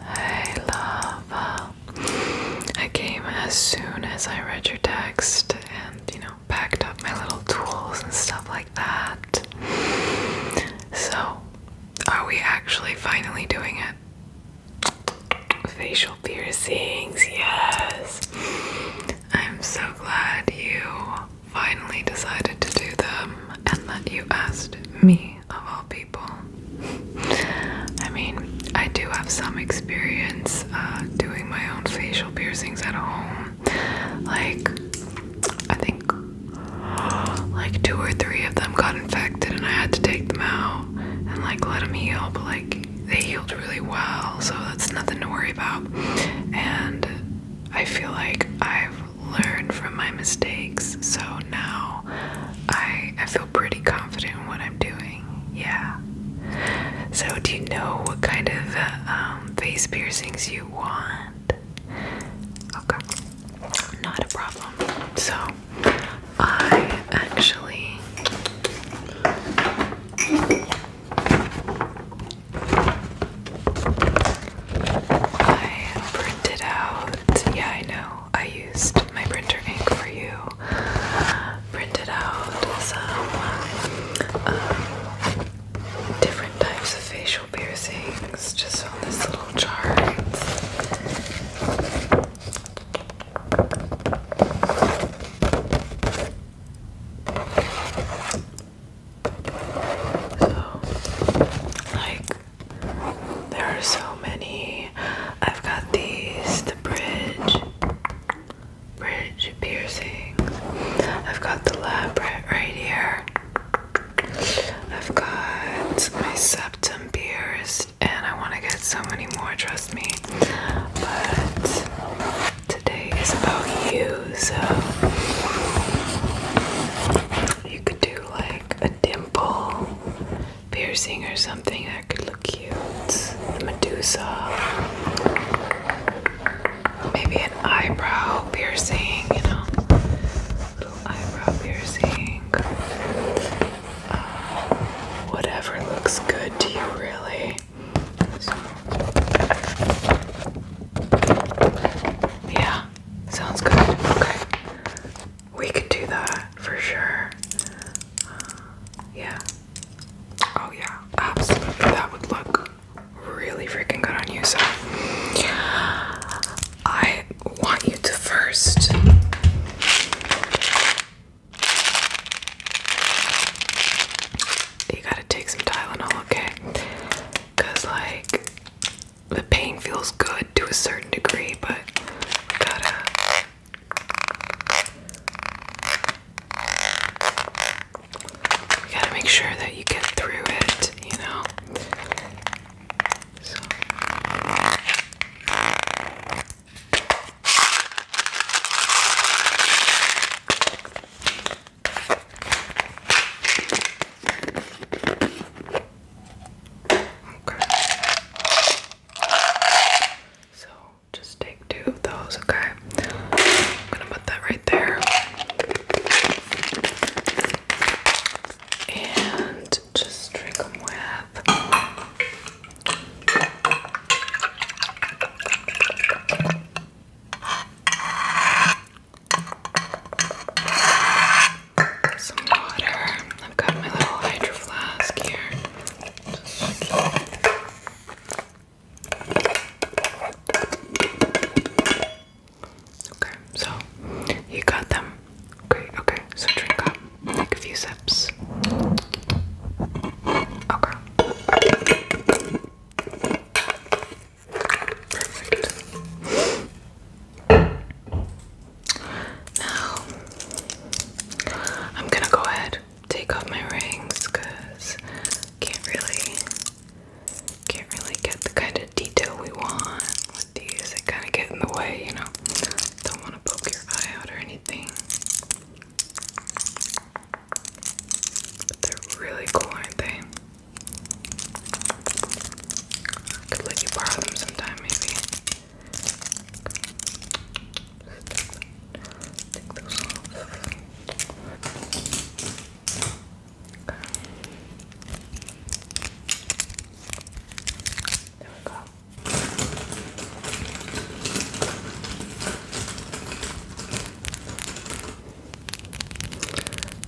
Hey Lava. I came as soon as I read your text and, you know, packed up my little tools and stuff like that. So, are we actually finally doing it? Facial piercings, yes. I'm so glad you finally decided to do them and that you asked me of all I mean, I do have some experience uh, doing my own facial piercings at home. Like, I think like two or three of them got infected, and I had to take them out and like let them heal. But like, they healed really well, so that's nothing to worry about. And I feel like I've learned from my mistakes. So now I I feel pretty confident in what I'm doing. Yeah. So do you know what kind of uh, um, face piercings you want? Okay. Not a problem. So I actually I printed out. Yeah, I know. I used my printer ink for you. Printed out some um, different types of facial piercings just on this little chart. So, like there are so many. I've got these, the bridge, bridge piercings. I've got the labret right here. I've got my septum pierced, and I want to get so many more, trust me. But today is about you, so you could do like a dimple piercing or something that could look cute. The Medusa. Maybe an eyebrow piercing, you know. Little eyebrow piercing. Uh, whatever looks good to you, really. yeah, sounds good. Okay. We could do that for sure. yeah. Oh, yeah. Absolutely. That would look really freaking good on you. So, I want you to first. You gotta take some Tylenol, okay? Because, like, the pain feels good to a certain degree, but we gotta gotta make sure that you get through it, you know. So. Okay. So just take two of those, okay? I'm gonna put that right there. And just drink them with some water. I've got my little hydro flask here. Okay, so you got them. Great, okay, so drink up. Take a few sips. Okay. Perfect. Now, I'm gonna go ahead take off my rings because can't really can't really get the kind of detail we want with these. They kind of get in the way, you know. Don't want to poke your eye out or anything. they're really cool, aren't they? I could let you borrow them sometime, maybe. Take those off. There we go.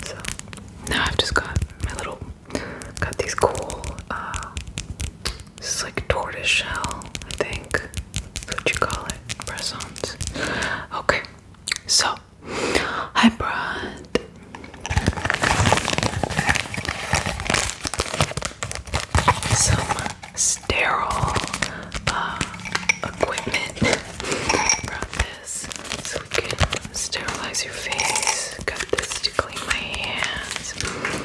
So now I've just got my little Got these cool, uh, this is like tortoise shell, I think. what what you call it. Press Okay, so I brought. Some sterile uh, equipment. I brought so we can sterilize your face. Got this to clean my hands.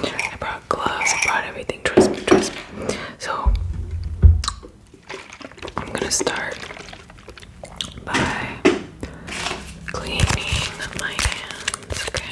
I brought gloves, I brought everything. Trust me, trust me. So I'm gonna start by cleaning my hands, okay?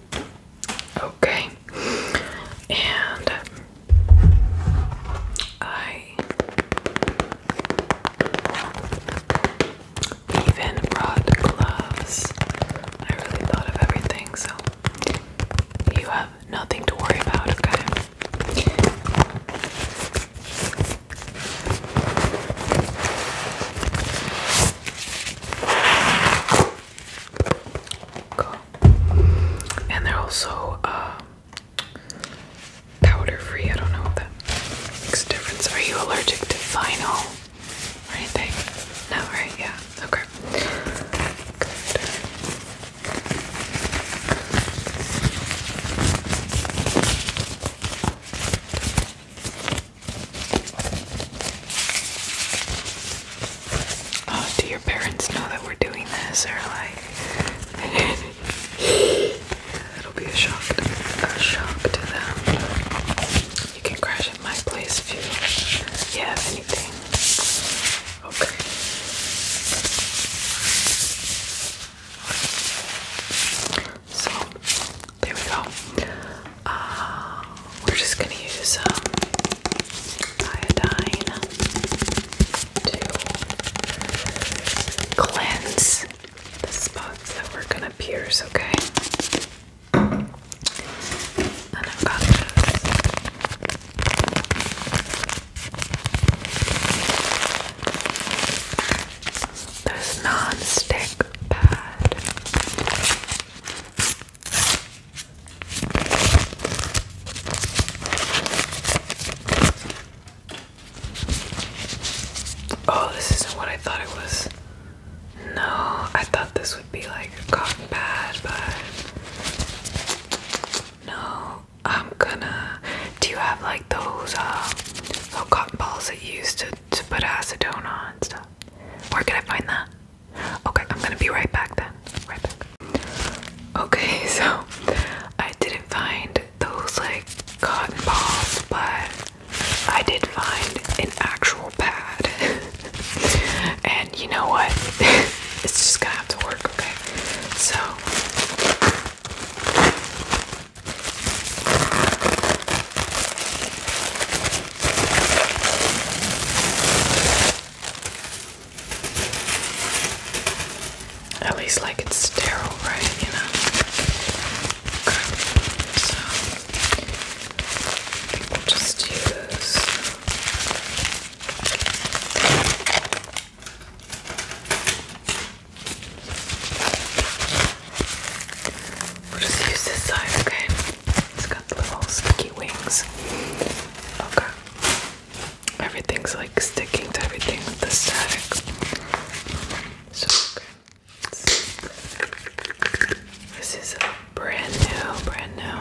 Okay, and I even brought gloves. I really thought of everything, so you have nothing to worry about, okay? And they're also uh, um, powder free. I don't know what that makes a difference. Are you allergic to vinyl or anything? No, right? Yeah. Okay. Oh, do your parents know that we're doing this, or like it'll be a shock, a shock to them? You can crash at my place if you, have anything. Okay. So there we go. Uh, we're just gonna use um, iodine to cleanse the spots that we're gonna pierce, okay? And I've got This non-stick pad. Oh, this isn't what I thought it was. No, I thought this would be like a cotton pad, but no, I'm gonna. Do you have like those uh, um, little cotton balls that you used to, to put acetone on stuff? Where can I find that? Okay, I'm gonna be right back then. Right back. Okay, so I didn't find those like cotton balls, but I did find an actual pad. and you know what? it's just gonna have to work, okay? So at least, like, it's sterile, right? You know? Okay, so we'll just use. We'll just use this side, okay? It's got little sticky wings. Okay. Everything's like sticking to everything with the static. So okay. This is brand new, brand new.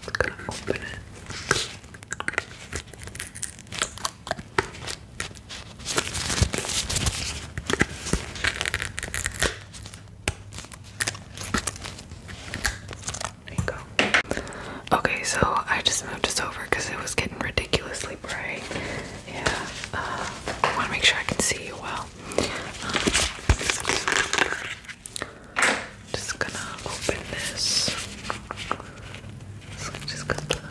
i gonna open it. Okay, so I just moved this over because it was getting ridiculously bright. Yeah, I uh, want to make sure I can see you well. just gonna open this. So i just gonna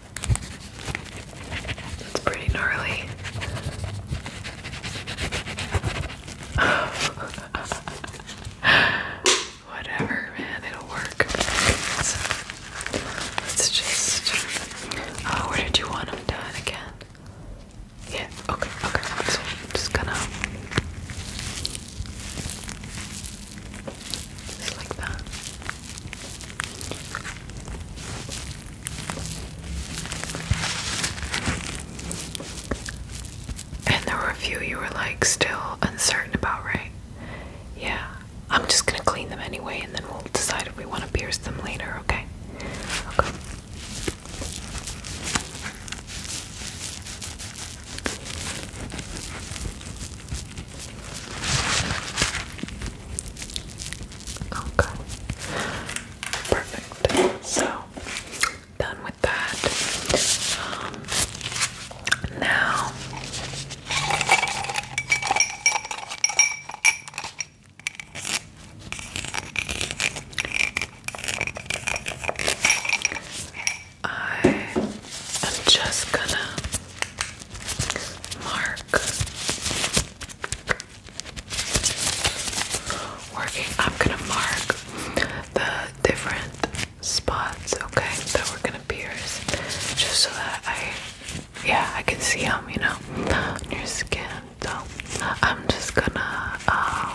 That's pretty gnarly. Whatever, man, it'll work. let's just. Oh, where did you want them done again? Yeah, okay, okay. So just gonna. Just like that. And the review you were like still uncertain about, right? Yeah. I'm just gonna clean them anyway and then we'll decide if we want to pierce them later, okay? Okay. Okay. Perfect. So done with that. Um, now I am just gonna Mark. Working, I'm gonna mark the different spots, okay, that we're gonna pierce, just so that I, yeah, I can see them, you know, on your skin. So I'm just gonna, uh,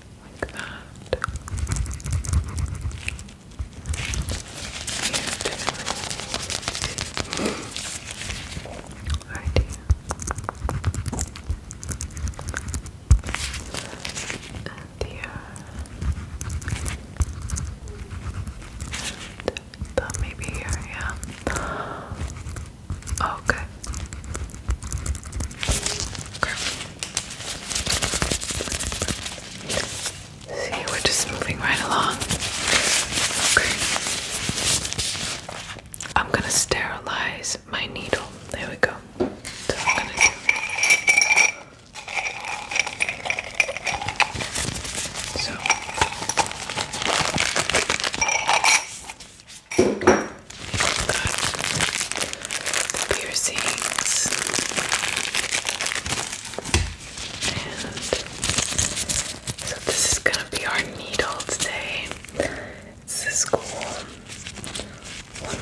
like that. right here. And here. And maybe here, yeah. Oh, okay. Okay. See, we're just moving right along. Okay. I'm gonna sterilize my needle. There we go. So piercings, and so this is gonna be our needle today. This is cool. One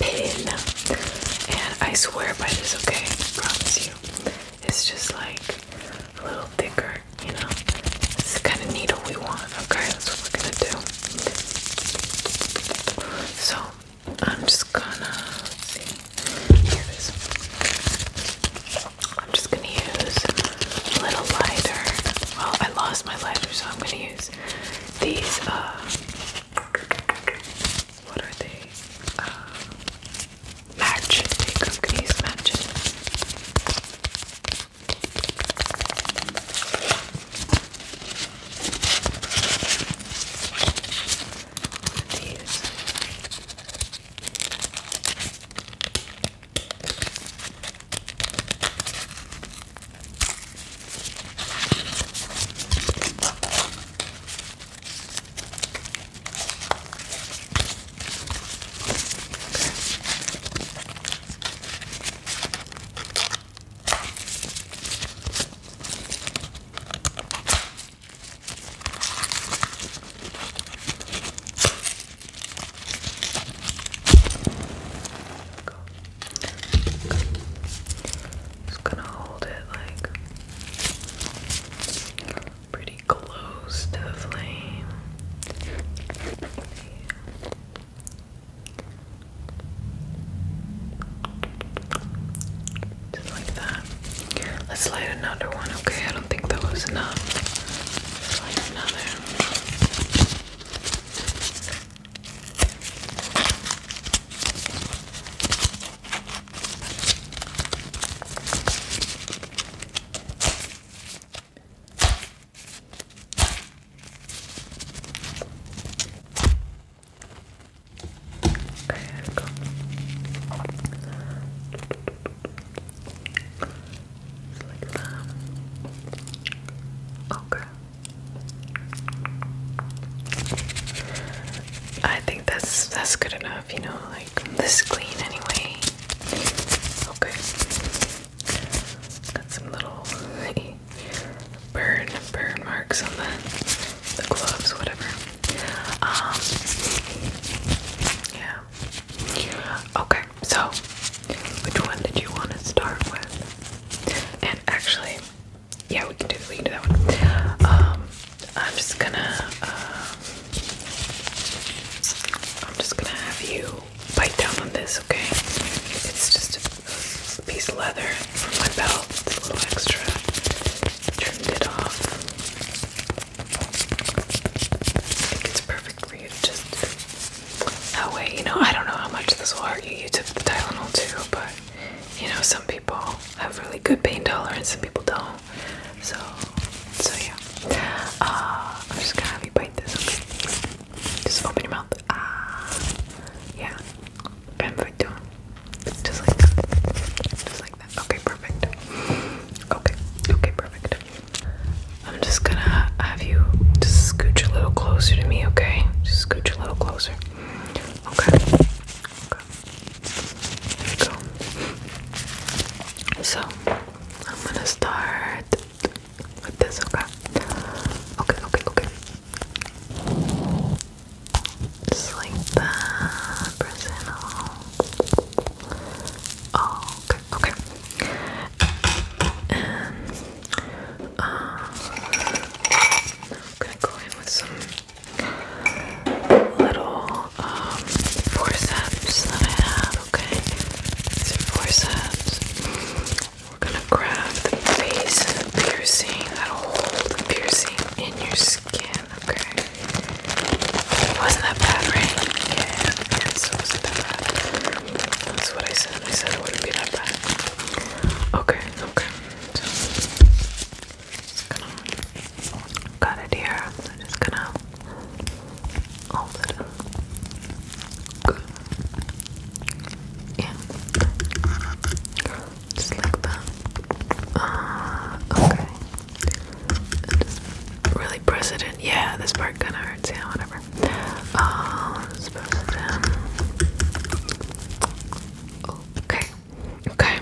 pin, and I swear by this. Okay, promise you, it's just like a little thicker you know? it's the kind of needle we want, okay? That's what we're gonna do. So, I'm just gonna, let is. I'm just gonna use a little lighter. Well, I lost my lighter, so I'm gonna use these, uh, what are they? Uh, match. i use matches. One of these. Okay. Go. Go. Just gonna hold it like pretty close to the flame. Yeah. Just like that. Let's light another one, okay? I don't think that was enough. light another. Okay, i think that's that's good enough, you know, like this clean anyway. Okay. Got some little burn burn marks on the the gloves, whatever. Um, yeah. Okay, so which one did you want to start with? And actually, yeah, we can do we can do that one. Um, I'm just gonna uh, I'm just gonna have you bite down on this, okay? It's just a piece of leather from my belt. It's a little extra. Trimmed it off. I think it's perfect for you to just that way. You know, I don't know how much this will hurt you. You took the Tylenol too, but you know, some people have really good pain tolerance, some people don't. So so yeah, uh, I'm just gonna have you bite this. Okay, just open your mouth. Ah, yeah, perfecto. Just like that. Just like that. Okay, perfect. Okay, okay, perfect. I'm just gonna have you just scooch a little closer to me. Okay, just scooch a little closer. Okay. Okay. There you go. So, I'm gonna start with this, okay? Okay, okay, okay. Just like that, press Oh, okay, okay. And, um, I'm gonna go in with some little, um, forceps that I have okay? These are We're gonna grab the face piercing, that'll hold piercing in your skin, okay? Wasn't that bad, right? Yeah, yes, it wasn't that bad. That's what I said. I said it wouldn't be that bad. Okay, okay. just gonna cut it here. just gonna all that are good. Yeah. Just like that. Uh, okay. just really press Yeah, this part kind of hurts. Yeah, whatever. Uh, okay. Okay.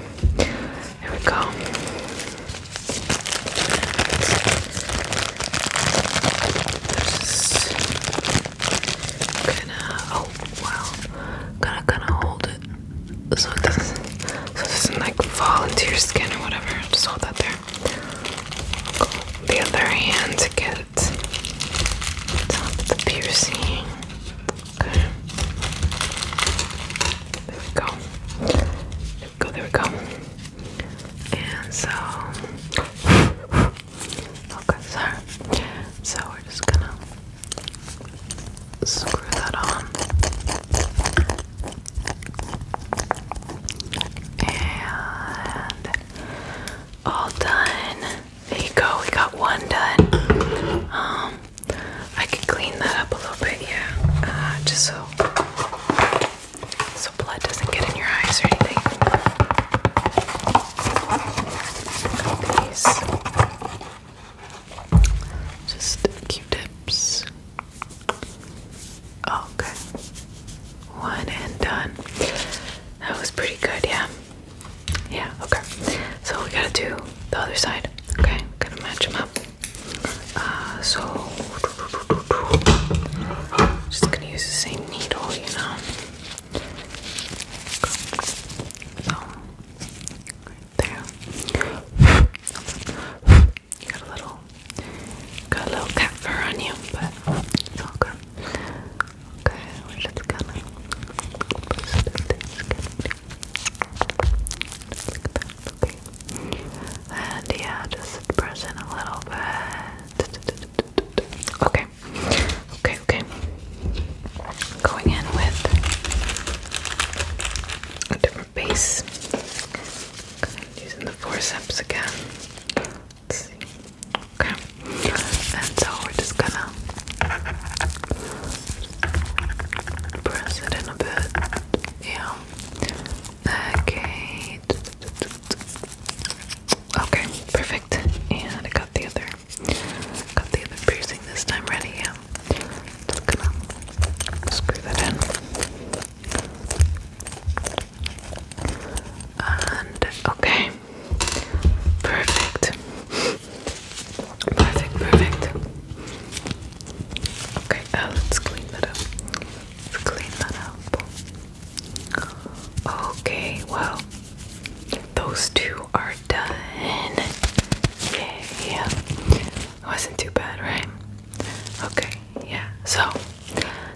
Here we go gonna, oh wow, gonna gonna hold it so it doesn't, so it doesn't like fall into your skin or whatever. just hold that there. the other hand get the piercing. There we go go there we go and so okay sorry so we're just gonna screw that on and all done there you go we got one done um I could clean that up a little bit yeah uh, just so so blood doesn't get in your eyes or anything. Got these just tips oh, Okay, one and done. That was pretty good, yeah. Yeah, okay. So we gotta do the other side. Okay, gotta match them up. Uh, so just gonna use the same needle, you know. So there. got a little got a little cat fur on you, but it's all good. Okay, we're just gonna and yeah, just press in a little bit. Okay. Okay, okay. Going in with a different base. Using the forceps again. Let's see. Okay. And so we're just gonna press it in a bit. Yeah. Okay. Okay, perfect. And I got the other got the other piercing this time ready, Just gonna screw that in. okay. Perfect. Perfect, perfect. Okay, uh, let's clean that up. Let's clean that up. Okay, well, those two are done. Okay, yeah. It wasn't too bad, right? Okay, yeah. So,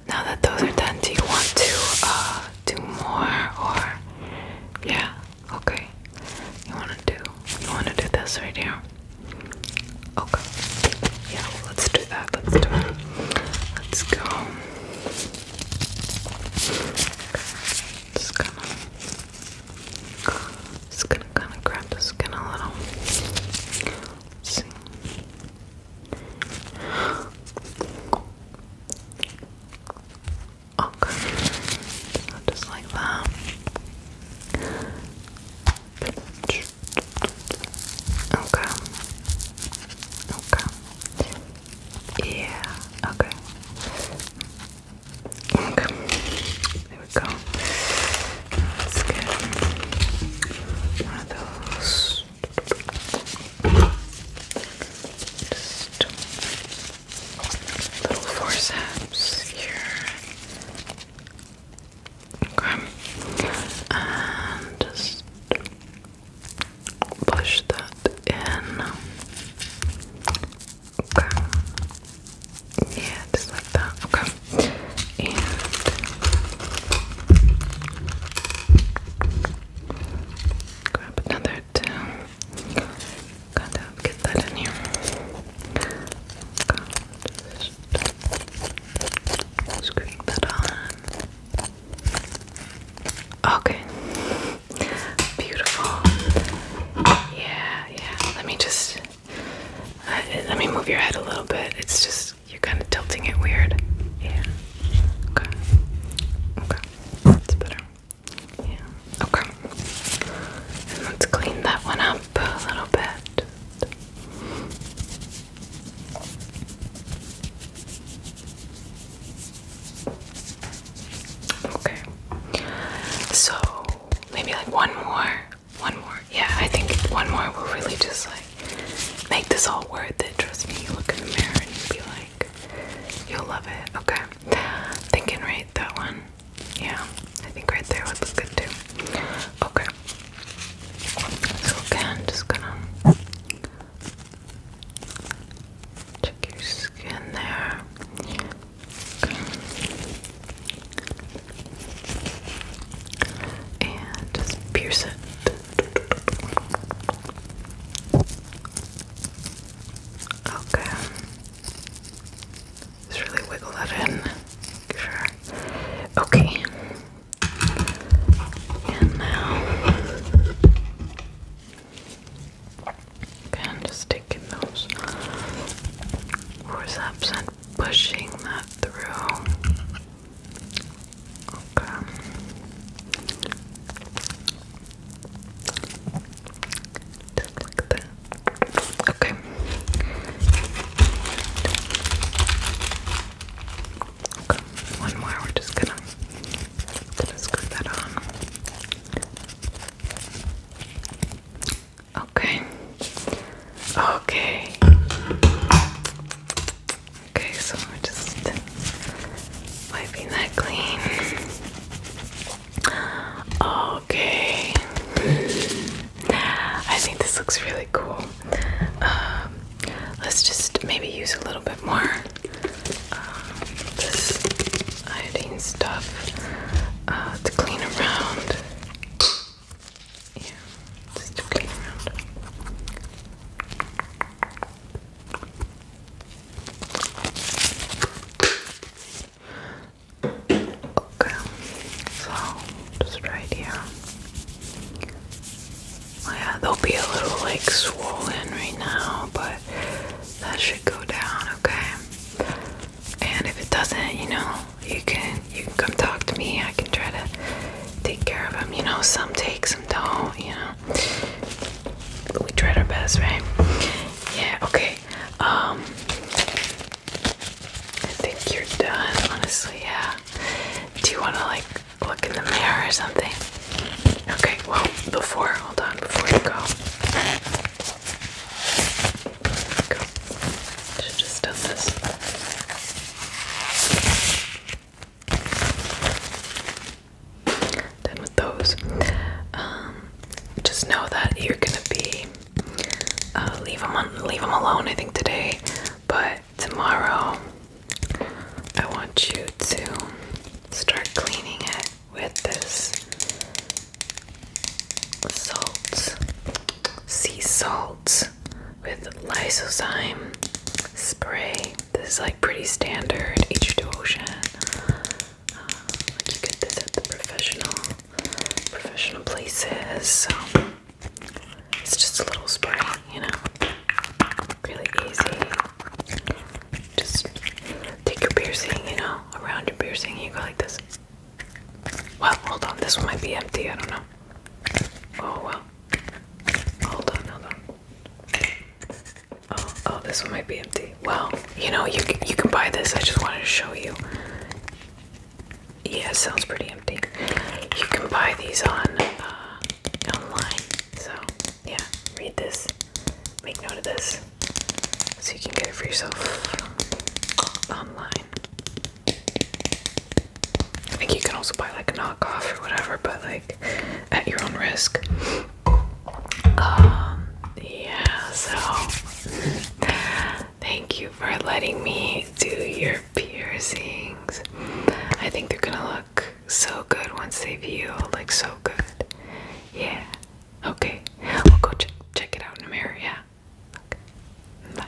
now that those are done, do you want to uh, do more or. Yeah, okay. You wanna do. You wanna do this right here? Okay. Yeah, let's do that. Let's do it. Let's go. Just gonna, just gonna kind of grab the skin a little. Okay. just like that. Okay. Okay. Yeah. Okay. Okay. There we go. Let's little forceps here. Okay. And just push that in. Okay. Yeah, just like that. Okay. And grab another two. Gotta get that in here. Screwing that on. Okay. Beautiful. Yeah, yeah. Let me just. Uh, let me move your head a little bit. It's just you're kind of tilting it weird. Yeah. Okay. Okay. That's better. Yeah. Okay. let's clean that one up a little bit. Okay. So maybe like one more. One more. Yeah, I think one more will really just like make this all worth it. Trust me, you look in the mirror and you'll be like, you'll love it. Okay. Thinking right that one. Yeah, I think right there would look good too. Okay. So again, just gonna check your skin there. Okay. And just pierce it. Okay. Just really wiggle that in. Sure. Okay. And now, again, just taking those forceps and pushing that through. Okay. Just like that. Okay. Okay, one more. We're just gonna, screw that on. Okay. Okay. Okay, so we're just wiping that clean. Okay. I think this looks really cool. Um, let's just maybe use a little bit more um, this iodine stuff uh, to clean around. Yeah, just to clean around. Okay, so just right here. Oh yeah, they'll be a little like swollen right now, but that should go down, okay? And if it doesn't, you know, you can you can come talk to me. I can try to take care of him. You know, some take, some don't. You know, but we tried our best, right? Yeah. Okay. Um. I think you're done, honestly, yeah. Do you want to, like, look in the mirror or something? Okay, well, before, hold on, before you go. just done this. Done with those. Um, just know that you're gonna be uh, leave them leave them alone. I think today, but tomorrow I want you to start cleaning it with this salt, sea salt with lysozyme spray. This is like pretty standard H2 Ocean. Uh, like get this at the professional professional places. So it's just a little spray, you know, really easy. Just take your piercing, you know, around your piercing, you go like this. Well, hold on, this one might be empty, I don't know. Oh well. Hold on, hold on. Oh, oh, this one might be empty. Well, you know, you you can buy this. I just wanted to show you. Yeah, sounds pretty empty. You can buy these on uh, online. So yeah, read this. Make note of this, so you can get it for yourself online. I you can also buy like a knockoff or whatever, but like at your own risk. Um, yeah, so Thank you for letting me do your piercings. I think they're gonna look so good once they've healed, like so good. Yeah. Okay. We'll go ch check it out in the mirror. Yeah. Okay. Bye.